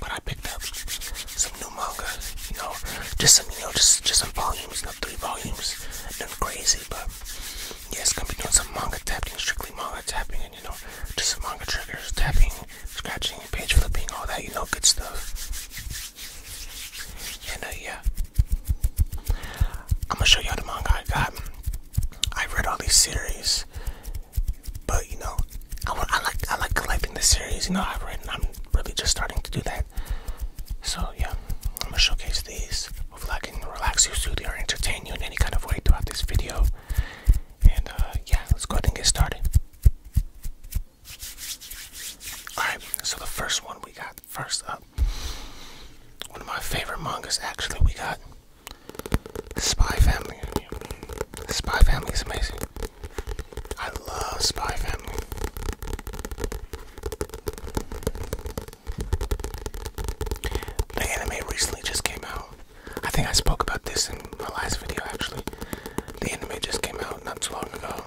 But I picked up some new manga, you know, just some, you know, just just some volumes, you three volumes, nothing crazy, but yeah, it's gonna be doing some manga tapping, strictly manga tapping, and you know, just some manga triggers, tapping, scratching, page flipping, all that, you know, good stuff. And uh, yeah, I'm gonna show y'all the manga I got. I read all these series, but you know, I, like I like collecting the series. You know, I've read, and I'm really just starting to do that. So yeah, I'm gonna showcase these. Hopefully, I can relax you, soothe you, or entertain you in any kind of way throughout this video. And uh, yeah, let's go ahead and get started. Alright, so the first one we got first up. One of my favorite mangas, actually, we got Spy Family. Spy Family is amazing. I love Spy Family. The anime recently just came out. I think I spoke about this in my last video actually. The anime just came out not too long ago.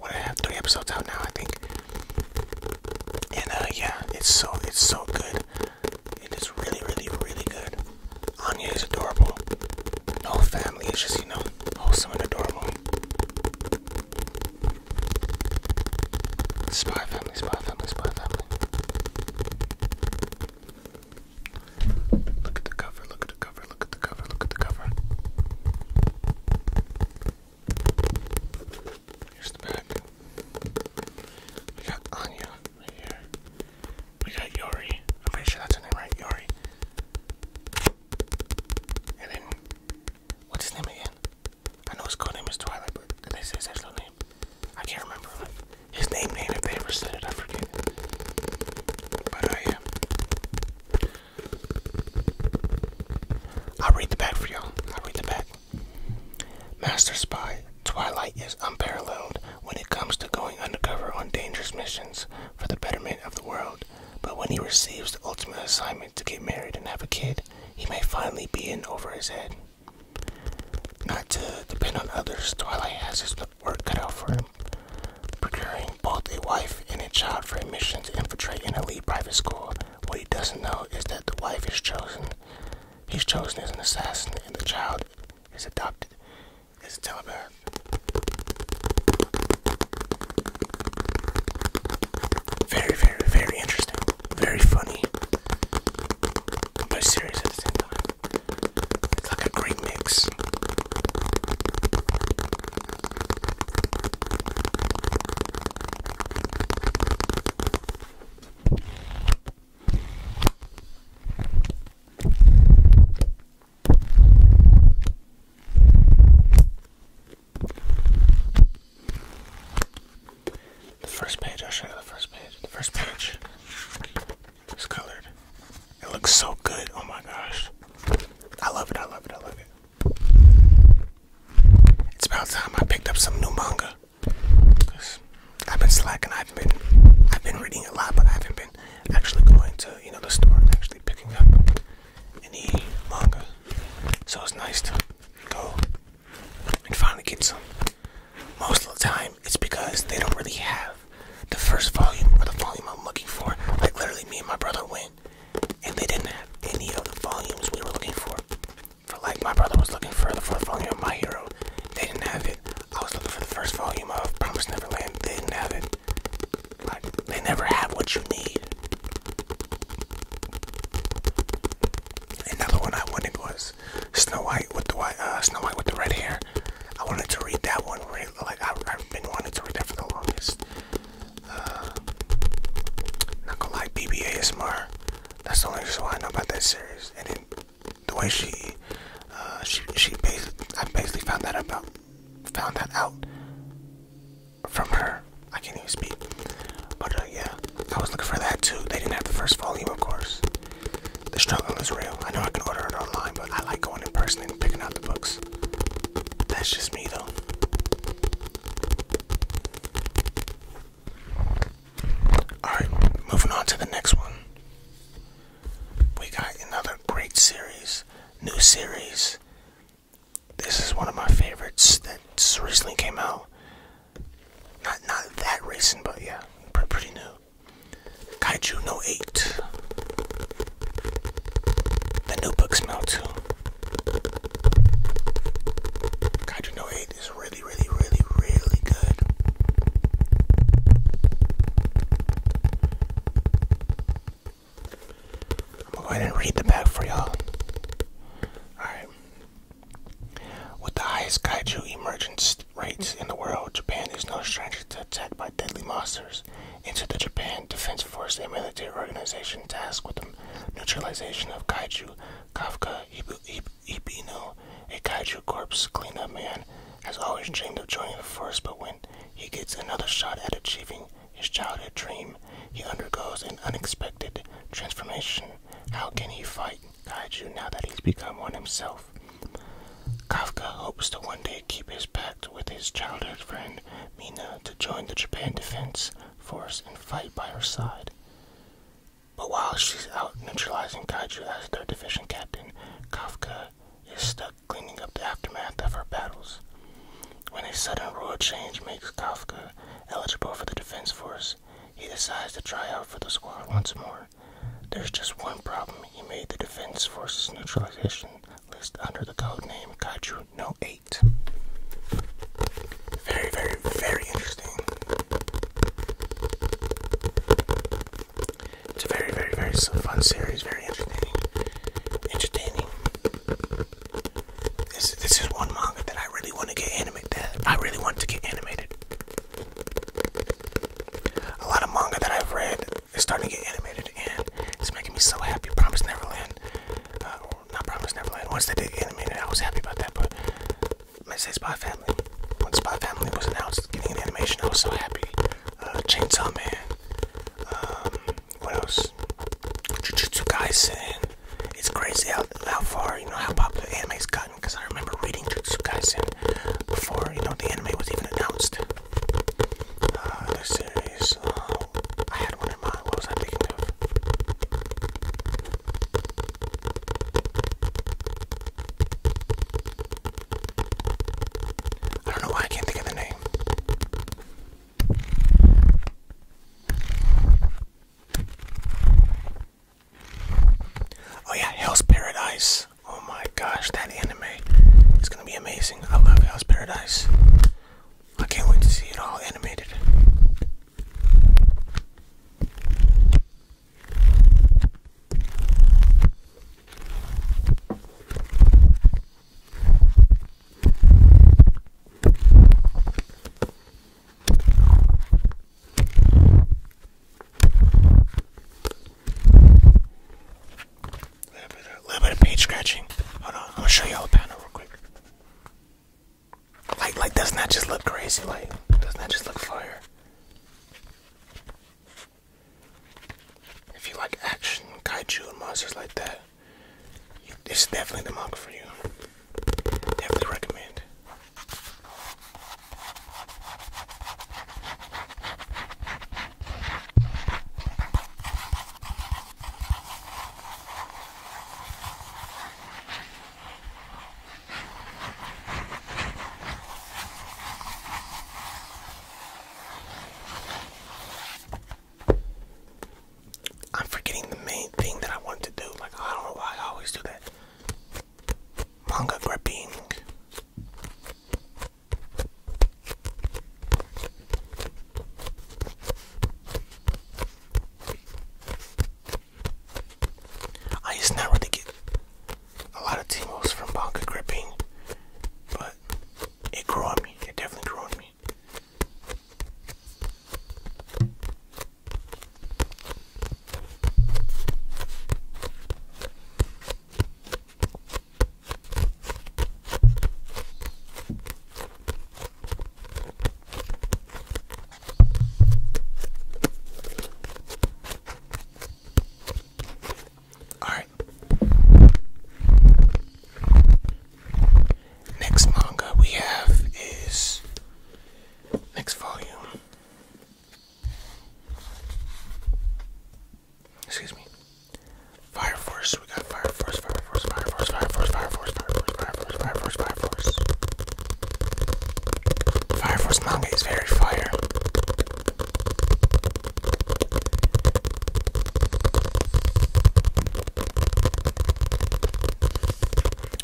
What I have three episodes out now I think. And uh, yeah, it's so it's so good. It is really, really, really good. Anya is adorable. The whole family is just, you know, wholesome and adorable. Spy family, spy family, spy family. Look at the cover, look at the cover, look at the cover, look at the cover. Here's the back. We got Anya here. We got Yori. I'm pretty sure that's her name, right? Yori. And then, what's his name again? I know his codename is Twilight, but did they say his actual name? I can't remember. his name name, if they ever said it, I forget. But I uh, am. I'll read the back for y'all. I'll read the back. Master Spy, Twilight is unparalleled when it comes to going undercover on dangerous missions for the betterment of the world, but when he receives the ultimate assignment to get married and have a kid, he may finally be in over his head. Not to depend on others, Twilight has his work cut out for him. Procuring both a wife and a child for a mission to infiltrate an elite private school, what he doesn't know is that the wife is chosen. He's chosen as an assassin, and the child is adopted as a telepath. Very, very, very interesting. Very funny. But serious at the same time. It's like a great mix. The first page, I'll show you the first page. The first page is colored. It looks so good. Oh my gosh. I love it, I love it, I love it. It's about time I picked up some new manga. I've been slacking. I've been, I've been reading a lot, but I haven't been actually going to, you know, the store and actually picking up any manga. So it's nice to go and finally get some. Most of the time, it's because they don't really have the first volume or the volume I'm looking for. Like literally, me and my brother went, and they didn't have any of the volumes we were looking for. For like my brother was looking for the fourth volume of My Hero, they didn't have it. I was looking for the first volume of Promise Neverland. They didn't have it. Like, they never have what you need. Another one I wanted was Snow White with the white, uh, Snow White with the red hair. I wanted to read that one. Really, like I, have been wanting to read that for the longest. Uh, not gonna lie, BB ASMR. That's the only reason why I know about that series the way she, uh, she, she basically, I basically found that about, found that out from her. I can't even speak. But uh, yeah, I was looking for that too. They didn't have the first volume, of course. The struggle is real. I know I can order it online, but I like going in person and picking out the books. That's just me, though. Alright, moving on to the next one. We got another great series, new series. This is one of my favorites that recently came out. Not not that recent, but yeah, pretty new. Kaiju No 8. The new book smell too. Kaiju No 8 made really, really, really, really good. I'm gonna go ahead and read the back for y'all. Alright. With the highest kaiju emergence rates in the world, Japan is no stranger to attack by deadly monsters. Into the Japan Defense Force, a military organization tasked with the neutralization of kaiju, Kafka, Hibu, Ibino, a kaiju corpse cleanup man, has always dreamed of joining the force, but when he gets another shot at achieving his childhood dream, he undergoes an unexpected transformation. How can he fight kaiju now that he's become one himself? Kafka hopes to one day keep his pact with his childhood friend Mina to join the Japan Defense Force and fight by her side. But while she's out neutralizing Kaiju as their division captain, Kafka is stuck cleaning up the aftermath of her battles. When a sudden rule change makes Kafka eligible for the Defense Force, he decides to try out for the squad once more. There's just one problem. He made the Defense Force's neutralization list under the codename Kaiju No 8. Very, very, very interesting. It's a very, very, very fun series. Very entertaining. Entertaining. This, this is one manga that I really want to get animated. That I really want to get animated. A lot of manga that I've read is starting to get animated, and it's making me so happy. Promise Neverland. Uh, not Promise Neverland. Once they did animate it, I was happy about that, but I say Spy Family. When Spy Family was announced, getting an animation, I was so happy. Uh, Chainsaw Man. Um, what else? Jujutsu Kaisen. It's crazy how, how far, you know, how popular anime's gotten. Because I remember reading Jujutsu Kaisen before, you know, the anime was even announced. Uh, the series. Oh, I had one in mind. What was I thinking I don't know why I can't think of the name. Oh yeah, Hell's Paradise. Oh my gosh, that anime is gonna be amazing. I love Hell's Paradise. I can't wait to see it all animated. A little bit of page scratching. Hold on, I'm gonna show y'all a panel real quick. Like, like, doesn't that just look crazy? Like, doesn't that just look fire? If you like action, kaiju, and monsters like that, this is definitely the manga for you. Definitely recommend. I'm forgetting the main thing that I want to do. Like, I don't know why I always do that. Manga gripping. I just never get a lot of Timos from Bonka gripping, but it grew on me. It definitely grew on me. All right. Next manga we have is next volume. Excuse me. Fire Force. We got Fire Force, Fire Force, Fire Force, Fire Force, Fire Force. Force, Fire Force, Fire Force, Fire Force, Fire Force. Fire Force manga is very fire.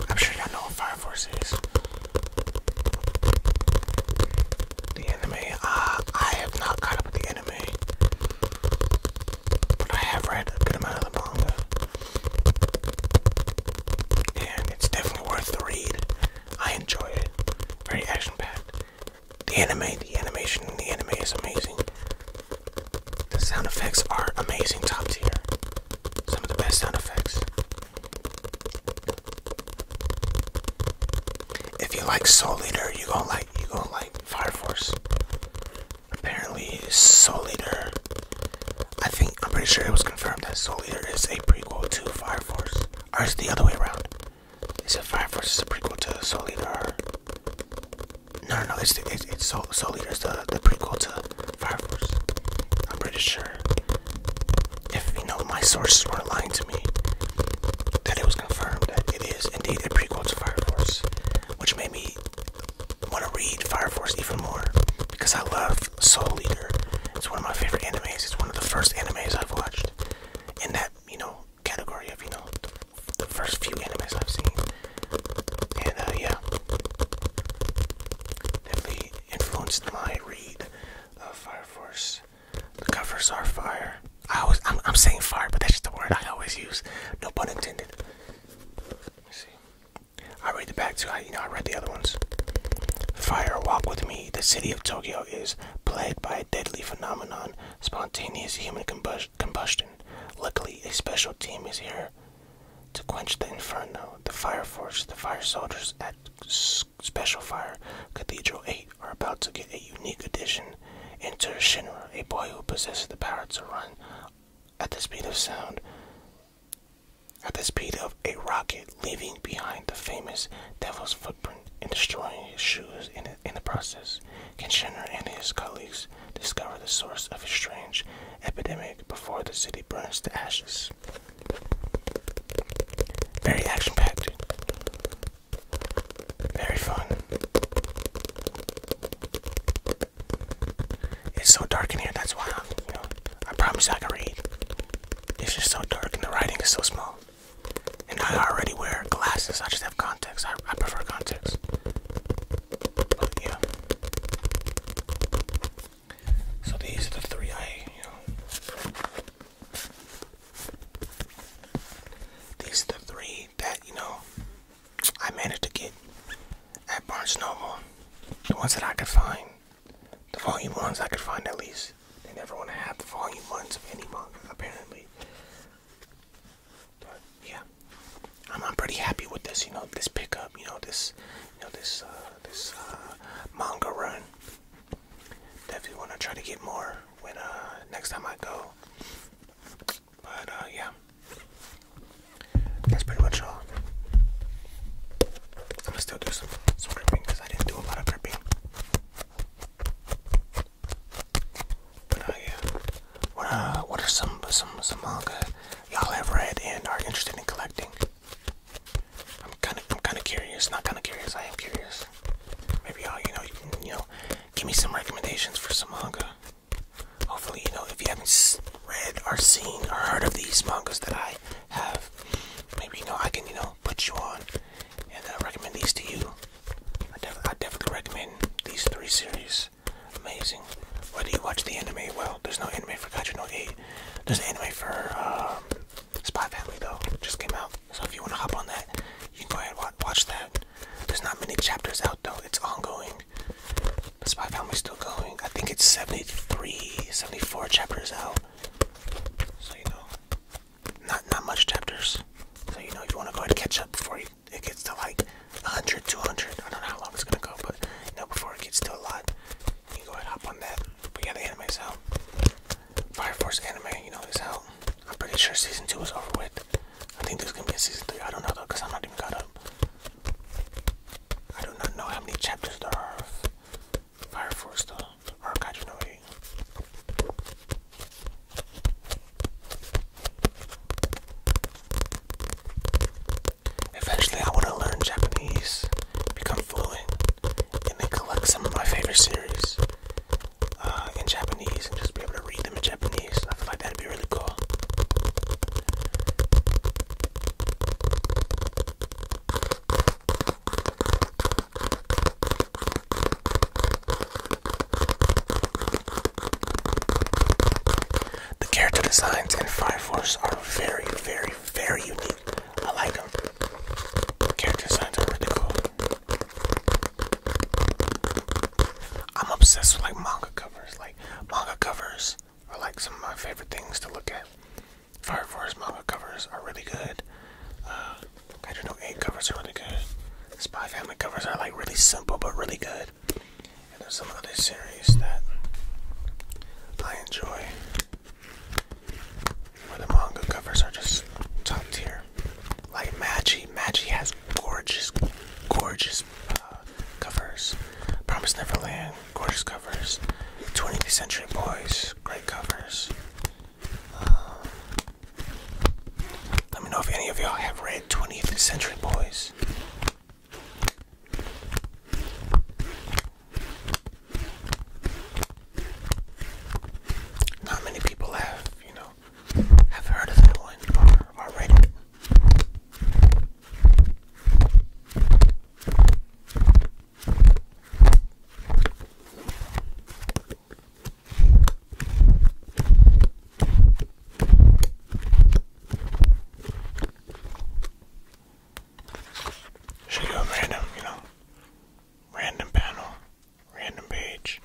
I'm sure y'all know what Fire Force is. The anime, ah, I have not caught up with the anime, but I have read a good amount of the manga and it's definitely worth the read. I enjoy it. Very action packed. The anime, the animation, the anime is amazing. The sound effects are amazing, top tier. Some of the best sound effects. If you like Soul Eater, you gonna like you gonna like Fire Force apparently Soul Eater. I think I'm pretty sure it was confirmed that Soul Eater is a prequel to Fire Force, or is the other way around? Is it Fire Force a prequel to Soul Eater? No, no, no. It's it's, Soul, Soul Eater is the the prequel to Fire Force. I'm pretty sure. If you know my sources weren't lying to me, that it was confirmed that it is indeed a prequel to Fire Force, which made me want to read Fire Force even more because I love Soul Eater. It's one of my favorite animes. It's one of the first animes I've watched in that, you know, category of, you know, the first few animes I've seen. And, uh, yeah. Definitely influenced my read of Fire Force. The covers are fire. I always, I'm, I'm saying fire, but that's just the word I always use. No pun intended. I read the back too. you know, I read the other ones. Fire Walk with Me. The city of Tokyo is plagued by a deadly phenomenon, spontaneous human combustion. Luckily, a special team is here to quench the inferno. The fire force, the fire soldiers at Special Fire Cathedral 8 are about to get a unique addition. Enter Shinra, a boy who possesses the power to run at the speed of sound, at the speed of a rocket, leaving behind the famous Devil's footprint and destroying his shoes in, the process. Kitchener and his colleagues discover the source of a strange epidemic before the city burns to ashes. Very action packed, very fun. It's so dark in here. That's why i you know, I promise I can read. It's just so dark and the writing is so small. And I already wear glasses. I just have contacts. I, prefer contacts. yeah. So these are the three I, you know. These are the three that, you know, I managed to get at Barnes Noble the ones that I could find. The volume ones I could find at least. They never want to have the volume ones of any manga, apparently. But yeah, I'm, pretty happy with this. You know, this pickup. You know, this, you know, this, uh, this uh, manga run. Definitely want to try to get more when uh, next time I go. But uh, yeah, that's pretty much all. I'm gonna still do some some because I didn't do a lot of gripping. But uh, yeah, what uh, what are some some some manga y'all have read and are interested in collecting? I'm kind of I'm kind of curious. Not kind of curious. I am curious. Maybe y'all you know you know give me some recommendations for some manga. Hopefully, you know, if you haven't read or seen or heard of these mangas that I have, maybe, you know, I can, you know, put you on and uh, recommend these to you. I, definitely recommend these three series. Amazing. Whether you watch the anime, well, there's no anime for Gacha no 8. There's an anime for um, Spy Family, though, just came out. So if you want to hop on that, you can go ahead and watch that. There's not many chapters out though. It's ongoing. The Spy Family's still going. I think it's 73, 74 chapters out. So you know, not not much chapters. So you know, if you want to go ahead and catch up before it, gets to like 100, 200. I don't know how long it's gonna go, but you know, before it gets to a lot, you go ahead and hop on that. yeah, the anime's out. Fire Force anime, you know, is out. I'm pretty sure season two is over with. I think there's gonna be a season three. I don't know though, cause I'm not even caught up. I do not know how many chapters there are Fire Force though, or Eventually, I want to learn Japanese, become fluent, and then collect some of my favorite series. Uh, in Japanese and just be able to read them in Japanese. I feel like that'd be really cool. The character designs in Fire Force are very, very, very unique. I like them. The character designs are really cool. I'm obsessed with like manga covers. Like manga covers are like some of my favorite things to look at. Fire Force manga covers are really good. Uh, I don't know, eight covers are really good. Spy Family covers are like really simple but really good. And there's some other series that I enjoy where the manga covers are just top tier. Like Maggie, Maggie has gorgeous, gorgeous uh, covers. Promise Neverland, gorgeous covers. 20th Century Boys, great covers. Uh, let me know if any of y'all have read 20th Century Boys. Not many people have, you know have heard of that one or Should go random, you know, random panel Random page.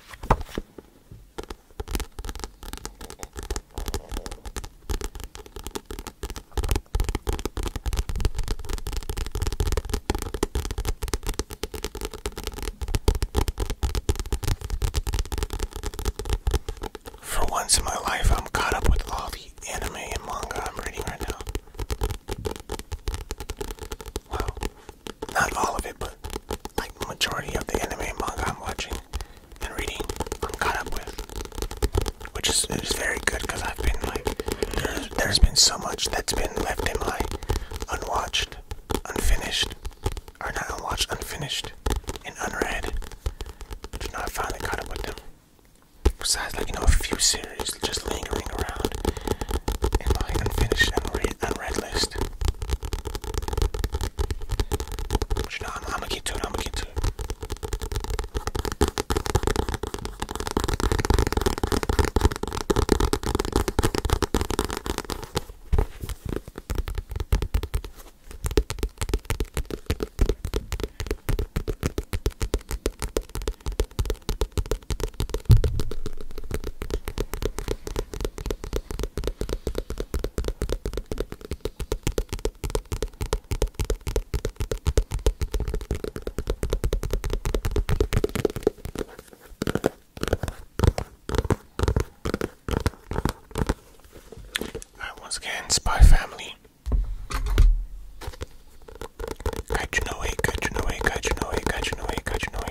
For once in my life, I'm caught up with all the anime and manga I'm reading right now. Wow not all of it, but like majority of the anime manga I'm watching and reading, I'm caught up with, which is, very good because I've been like, there's, there's been so much that's been left in my unwatched, unfinished, or not unwatched, unfinished, and unread. But now I finally caught up with them. Besides, like you know, a few series just lingering around in my unfinished and read unread list. But you know, I'm, I'm gonna get to it. I'm gonna get to it once again, Spy Family. Catching away, catching away, catching away, catching away, catching away.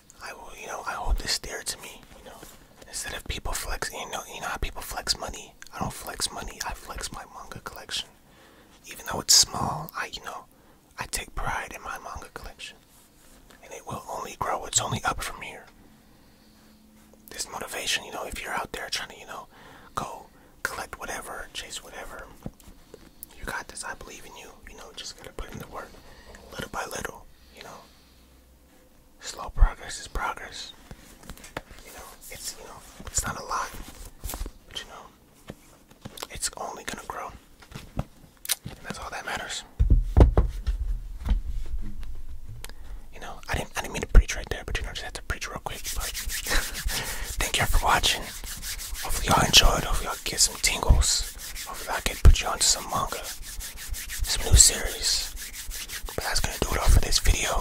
I will, you know, I hold this dear to me, you know. Instead of people flexing, you know, you know how people flex money. I don't flex money. I flex my manga collection. Even though it's small, I, you know, I take pride in my manga collection, and it will only grow. It's only up from here. This motivation, you know, if you're out there trying to, you know, go collect whatever, chase whatever, you got this. I believe in you. You know, just gotta put in the work, little by little. You know, Slow progress is progress. You know, it's you know, it's not a lot, but you know, it's only gonna grow. And that's all that matters. You know, I didn't I didn't mean to preach right there, but you know, I just had to preach real quick. But thank y'all for watching. Hopefully y'all enjoyed. Hopefully y'all get some tingles. Hopefully I can put you onto some manga. Some new series. But that's gonna do it all for this video.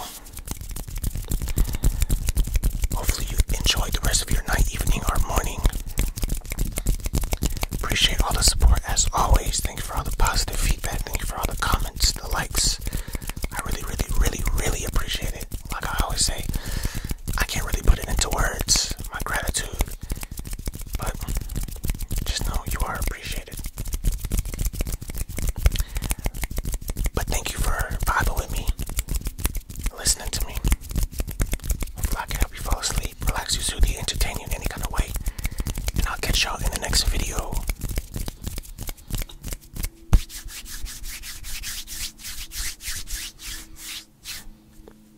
Hopefully you enjoyed the rest of your night, evening, or morning. Appreciate all the support as always. Thank you for all the positive feedback. Thank you for all the comments, the likes. I really, really, really, really appreciate it. Like I always say, I can't really put it into words. My gratitude. But just know you are appreciated. But thank you for vibing with me, listening to me. Hopefully, I can help you fall asleep, relax you, soothe you, entertain you in any kind of way. And I'll catch y'all in the next video.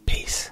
Peace.